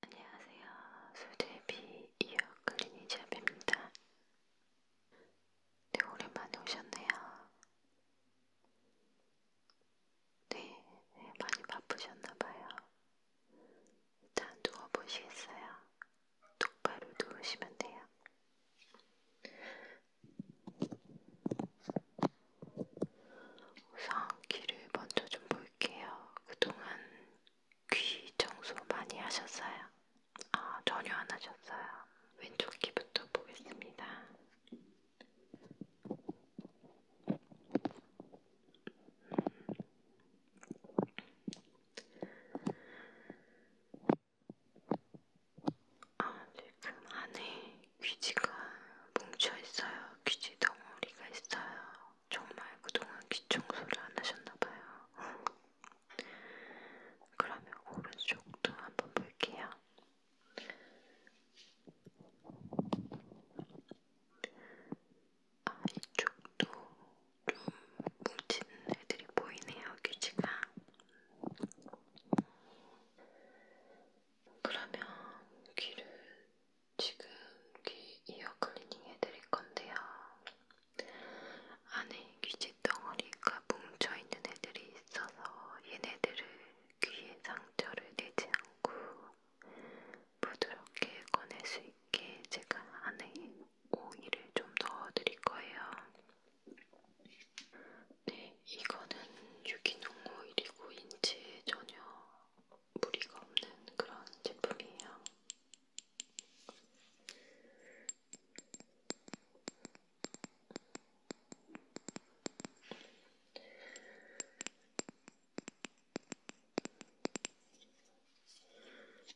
안녕하세요. 소대비 이어 클리니샵입니다. 네, 오랜만에 오셨네요. 네, 많이 바쁘셨나봐요. 일단 누워보시겠어요? 똑바로 누우시면 돼요. 우선 귀를 먼저 좀 볼게요. 그동안 귀 청소 많이 하셨어요? 아, 전혀 안 하셨어요. 왼쪽 귀부터 보겠습니다. 아, 지금 네. 그 안에 귀지가 뭉쳐있어요. 귀지 덩어리가 있어요. 정말 그동안 귀 청소를 안 하셨나봐요. 그러면 오른쪽도 한번 볼게요. 아, 이쪽도 좀 뭉친 애들이 보이네요, 귀지가. 그러면 귀를 지금 귀 이어 클리닝 해드릴 건데요. 안에 귀짓 덩어리가 뭉쳐있는 애들이 있어서 얘네들을 귀의 상처를 내지 않고 부드럽게 꺼낼 수 있게 제가 안에 오일을 좀 넣어드릴 거예요. 네, 이거는 유기농 오일이고 인체에 전혀 무리가 없는 그런 제품이에요.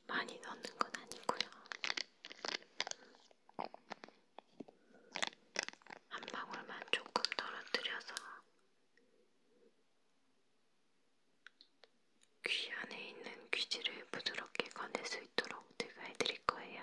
많이 넣는 건 아니고요. 한 방울만 조금 떨어뜨려서 귀 안에 있는 귀지를 부드럽게 꺼낼 수 있도록 제가 해드릴 거예요.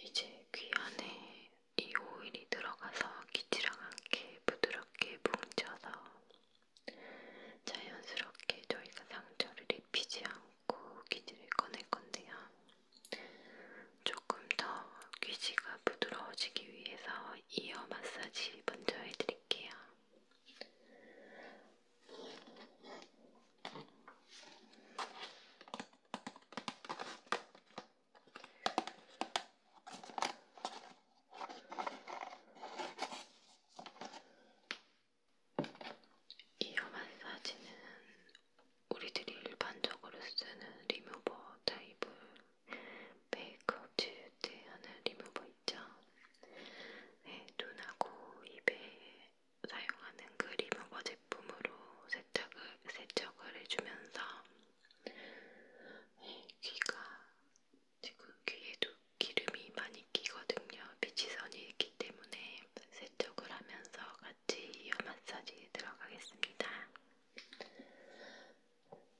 이제 귀 안에 이 오일이 들어가서 기치랑 함께 부드럽게 뭉쳐서 자연스럽게 저희가 상처를 입히지 않고 기지를 꺼낼 건데요. 조금 더 귀지가 부드러워지기 위해서 이어 마사지 먼저 해드릴게요. 이어 마사지는 우리들이 일반적으로 쓰는 리무버 타입을 메이크업 지울 때 하는 리무버 있죠. 네, 눈하고 입에 사용하는 크림하고 제품으로 세척을, 세척을 해주면서 네, 귀가 지금 귀에도 기름이 많이 끼거든요. 빛이선이 있기 때문에 세척을 하면서 같이 이어 마사지에 들어가겠습니다.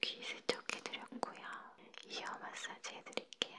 귀 세척해드렸고요. 이어 마사지 해드릴게요.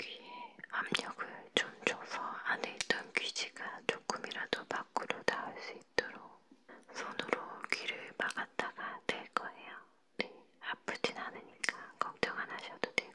귀에 압력을 좀 줘서 안에 있던 귀지가 조금이라도 밖으로 나올 수 있도록 손으로 귀를 막았다가 될 거예요. 네, 아프진 않으니까 걱정 안 하셔도 되고요.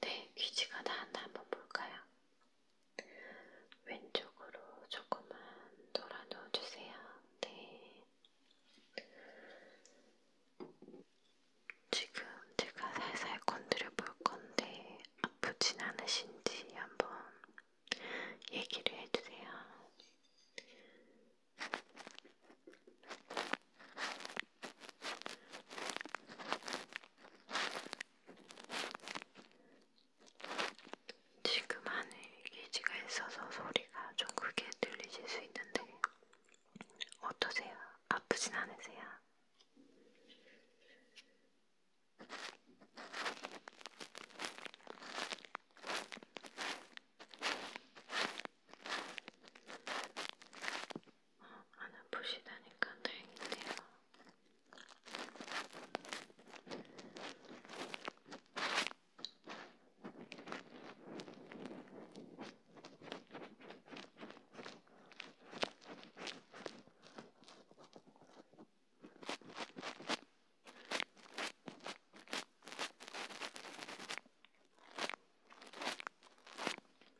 네, 귀지가 나왔나 한번 볼까요? 왼쪽으로 조금만 돌아 놓아주세요. 네. 지금 제가 살살 건드려 볼 건데 아프진 않으신지 한번 얘기를 해주세요. 지금 안에 기지가 있어서 소리가 좀 크게 들리실 수 있는데 어떠세요? 아프진 않으세요? 안 아프시다니까 다행이네요.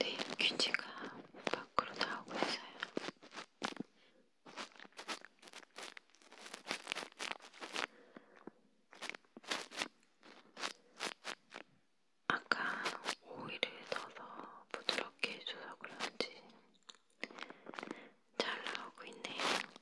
네, 귀지가 밖으로 나오고 있어요. 아까 오일을 넣어서 부드럽게 해줘서 그런지 잘 나오고 있네요.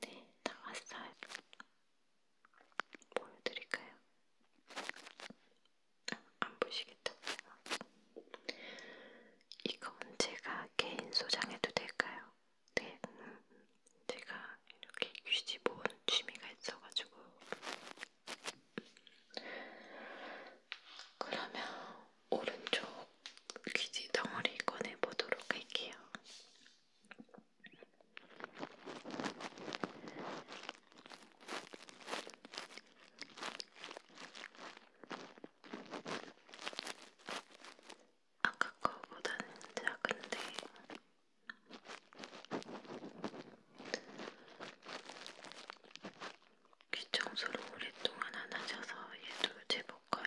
네, 나왔어요. 보여드릴까요? 안 보시겠다. 이건 제가 개인 소장해도 될까요? 네, 음, 제가 이렇게 휴지 모으는 취미가 있어가지고 그러면 오른쪽 귀지 덩어리 꺼내보도록 할게요. 아까 거보다는 작은데 귀청소를 오랫동안 안 하셔서 얘도 제법 커요.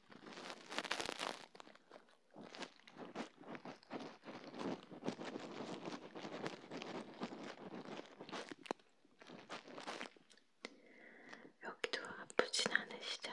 여기도 아프진 않으시죠?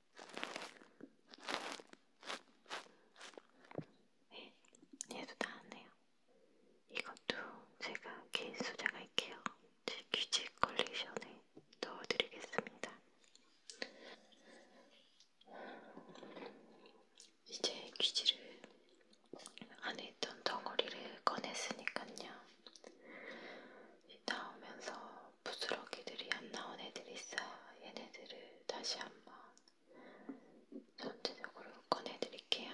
네, 얘도 다 왔네요. 이것도 제가 케이스 소장할게요. 제 규칙 컬렉션에 넣어드리겠습니다. 이제 귀지를 안에 있던 덩어리를 꺼냈으니까요. 나오면서 부스러기들이 안 나온 애들이 있어요. 얘네들을 다시 한번 전체적으로 꺼내드릴게요.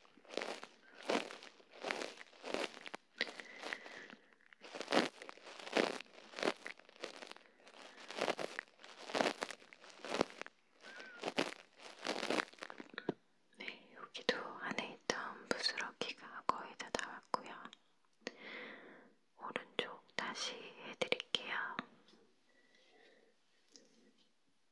네, 여기도 안에 있던 부스러기가 거의 다 나왔고요. 오른쪽 다시 해드릴게요.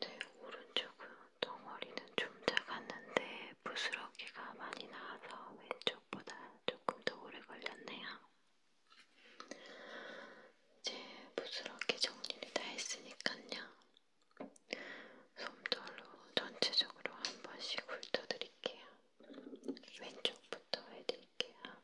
네, 오른쪽은 덩어리는 좀 작았는데 부스러기가 많이 나와서 왼쪽보다 조금 더 오래 걸렸네요. 이제 부스러기 정리를 다 했으니까요. 솜돌로 전체적으로 한 번씩 훑어드릴게요. 왼쪽부터 해드릴게요.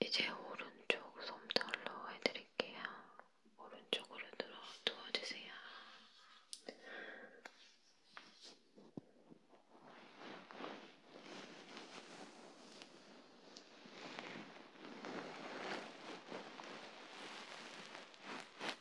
이제 오른쪽 솜털로 해드릴게요. 오른쪽으로 들어 누워주세요.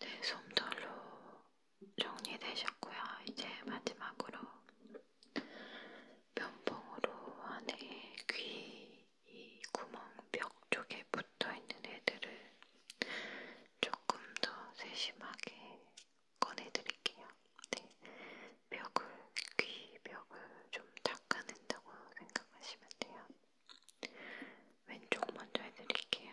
네, 솜털로 정리되셨고요. 이제 마지막으로 면봉으로 안에 귀, 이 구멍 벽 쪽에 붙어 있는 애들을 조금 더 세심하게 꺼내드릴게요. 네, 벽을, 귀 벽을 좀 닦아낸다고 생각하시면 돼요. 왼쪽 먼저 해드릴게요.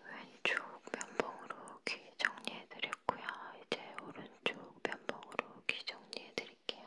왼쪽 면봉으로 귀 정리해드렸고요. 이제 오른쪽 면봉으로 귀 정리해드릴게요.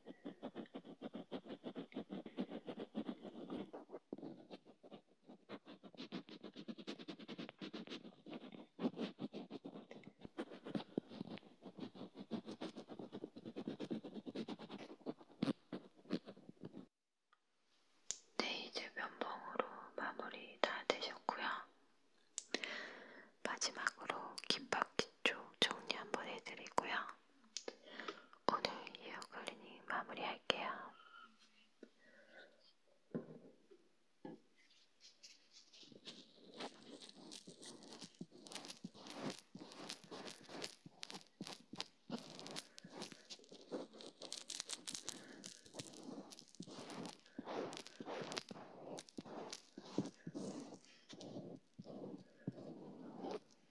네, 이제 면봉으로 마무리 다 되셨고요. 마지막으로 귓바퀴 쪽 정리 한번 해드리고요. 오늘 이어 클리닝 마무리할게요.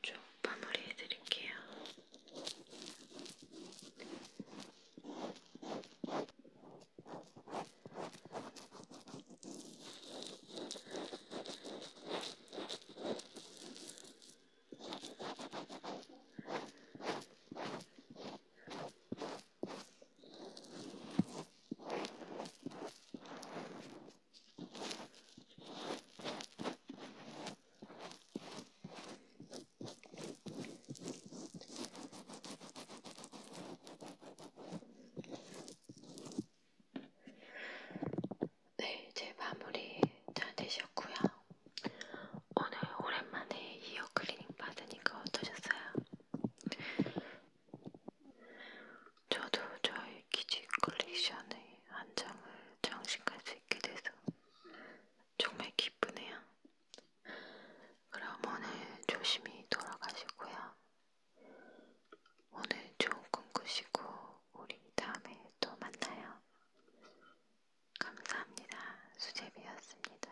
쭉 마무리해 드릴게요. 네, 이제 마무리 다 되셨고요. 오늘 오랜만에 이어 클리닝 받으니까 어떠셨어요? 저도 저의 기지 컬렉션의 한 장을 장식할 수 있게 돼서 정말 기쁘네요. 그럼 오늘 조심히 돌아가시고요. 오늘 좋은 꿈 꾸시고 우리 다음에 또 만나요. 감사합니다. 수제비였습니다.